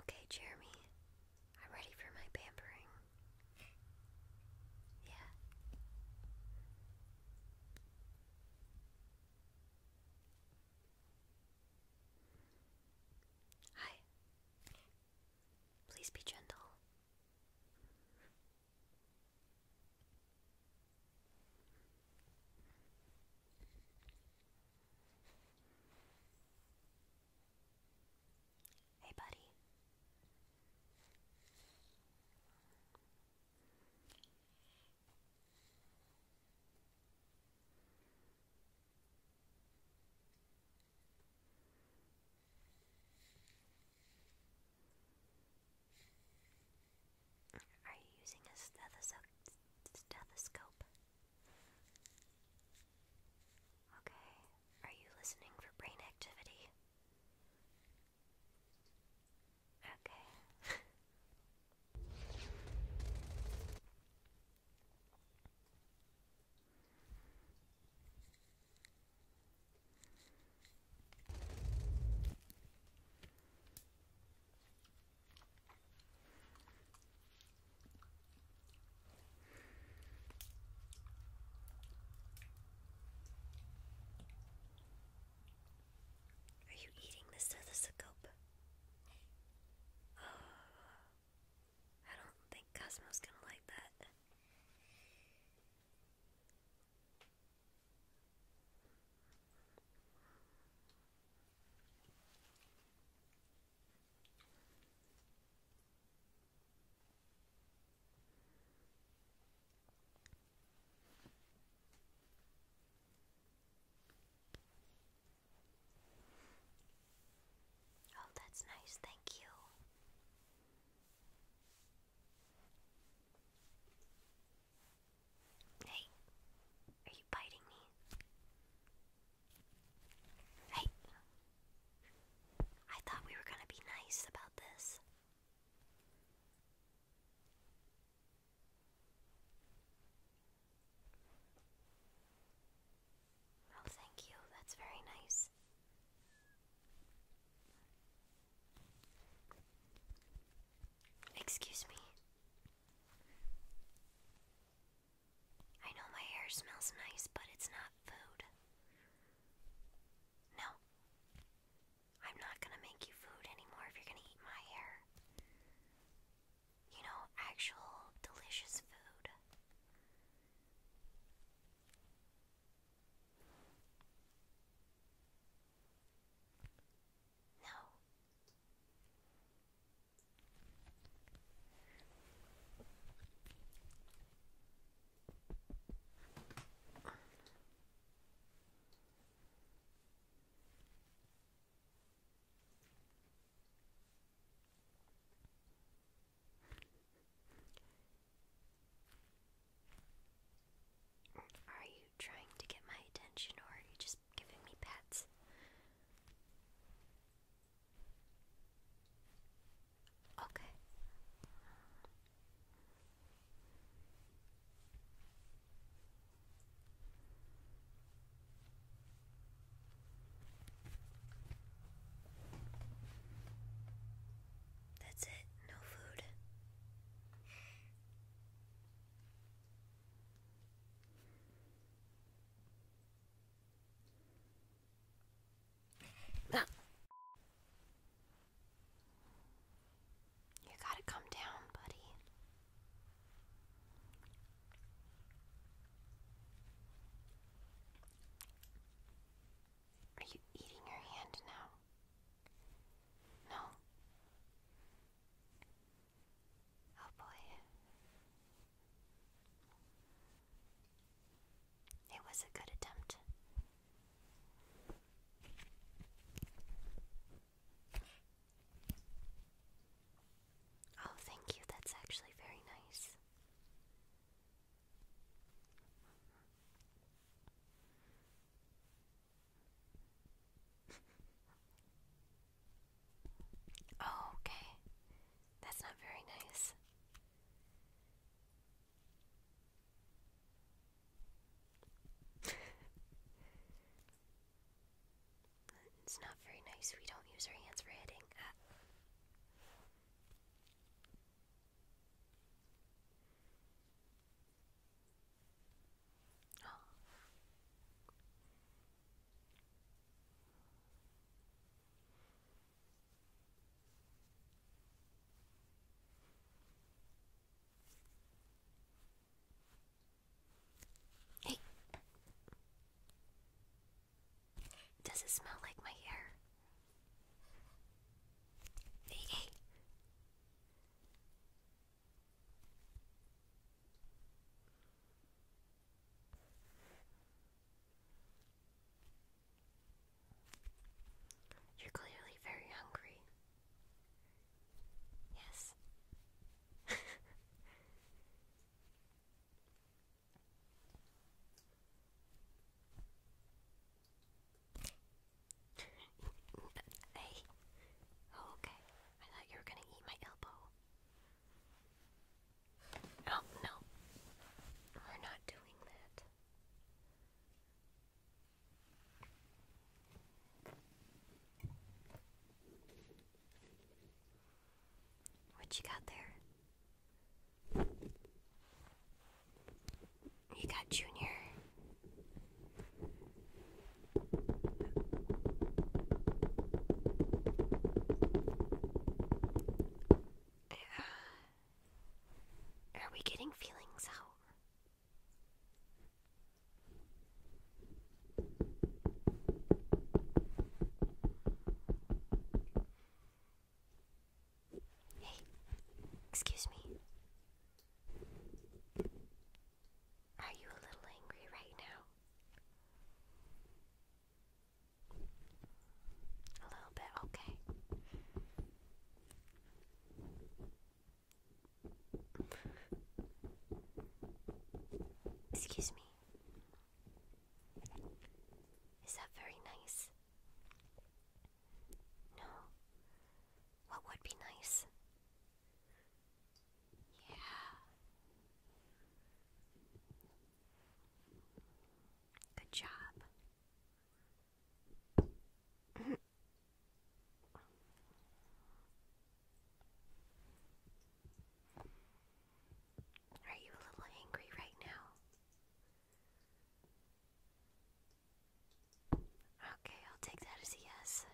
Okay, Jeremy, I'm ready for my pampering. Yeah. Hi. Please be gentle. Hey, buddy. Are you using a stethoscope? Okay. Are you listening for brain activity? Okay. Are you eating this other uh, I don't think Cosmo's gonna like that. Oh, that's nice, thank you. Hey, are you biting me? Hey, I thought we were gonna be nice about this. Oh, thank you, that's very nice. Excuse me. I know my hair smells nice, but it's not food. No. I'm not gonna make you food anymore if you're gonna eat my hair. You know, actual delicious food. No. Are you trying to get my attention, or are you just giving me pets. Okay. That's it, no food. Ah. You gotta come down, buddy. Are you eating your hand now? No. Oh boy. It was a good attempt. Oh, thank you. That's actually very nice. Oh, okay. That's not very nice. it's not very nice. We don't use our hands for hitting. Ah. Hey, does it smell like my hair? hey. You're clearly very hungry. Yes. hey. Oh, okay. I thought you were gonna eat my elbow. Oh, no. We're not doing that. What you got there? You got Junior are we getting feelings out? Hey, excuse me. Are you a little angry right now? A little bit, okay. Excuse me. Is that very nice? No. What would be nice? Yeah. Good job. Are you a little angry right now? Okay, I'll take that as a yes.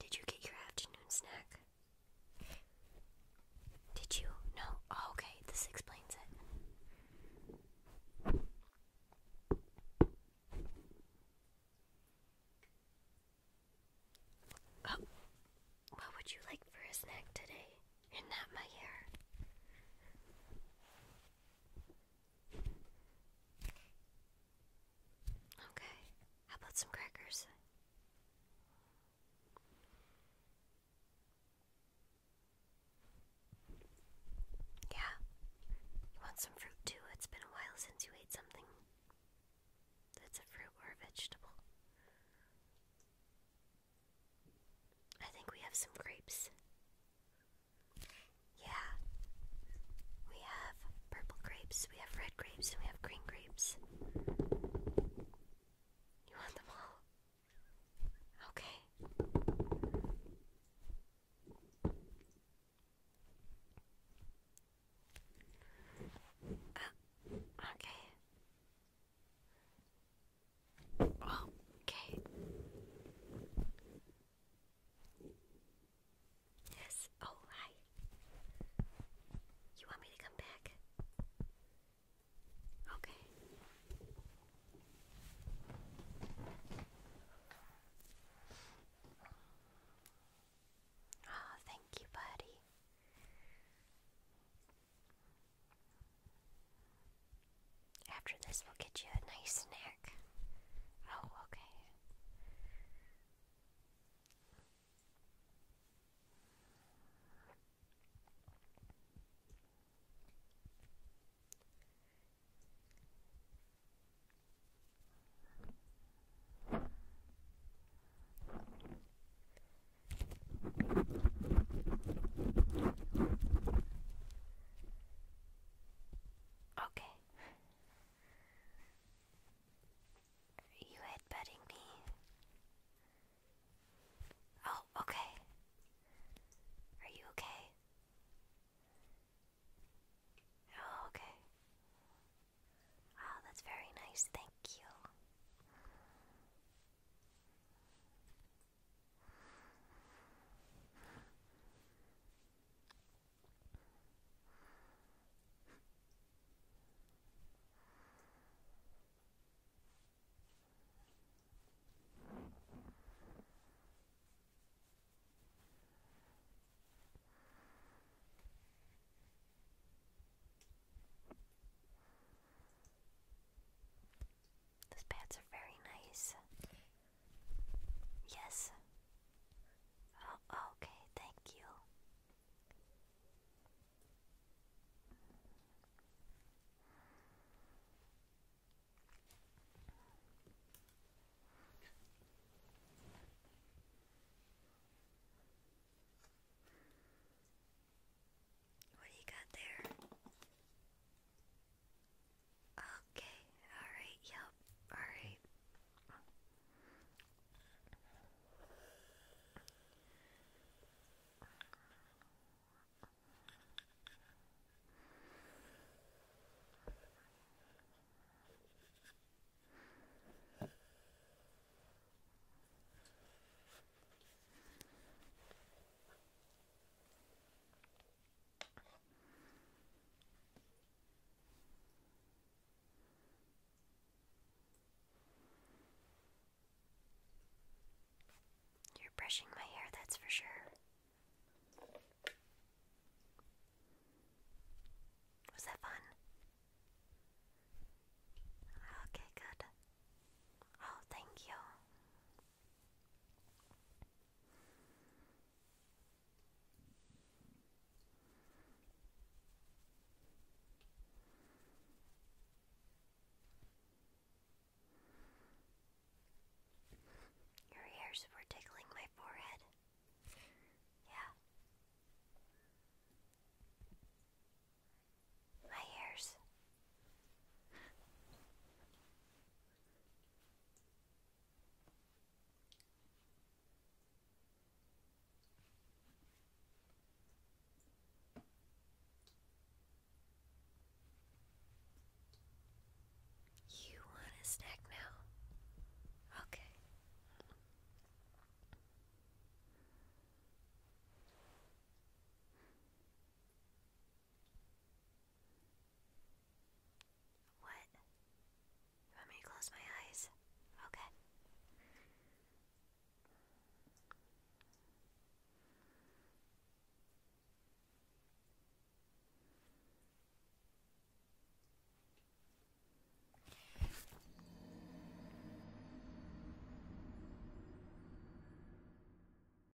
Did you get your afternoon snack? Did you? No. Oh, okay, this explains it. Oh, what would you like for a snack today? And not my hair. Okay, how about some crackers? Yeah, you want some fruit too? It's been a while since you ate something that's a fruit or a vegetable. I think we have some grapes. Yeah. We have purple grapes, we have red grapes, and we have green grapes. You want them all? Okay. Uh, okay. Okay. Yes. Oh, hi. You want me to come back? Okay. Oh, thank you, buddy. After this, we'll get you a nice snack. Oh, okay. Okay. Are you me? Oh, okay. Are you okay? Oh, okay. Wow, ah, that's very nice. Thank you. Those pads are very nice. Yes. Oh, okay, thank you. What do you got there? Okay, alright, yep, alright. You're brushing my hair, that's for sure. Was that fun? Okay, good. Oh, thank you. Your ears were tickling my forehead. Yeah. My ears. You want a snack now? Okay. What? You want me to close my eyes? Okay.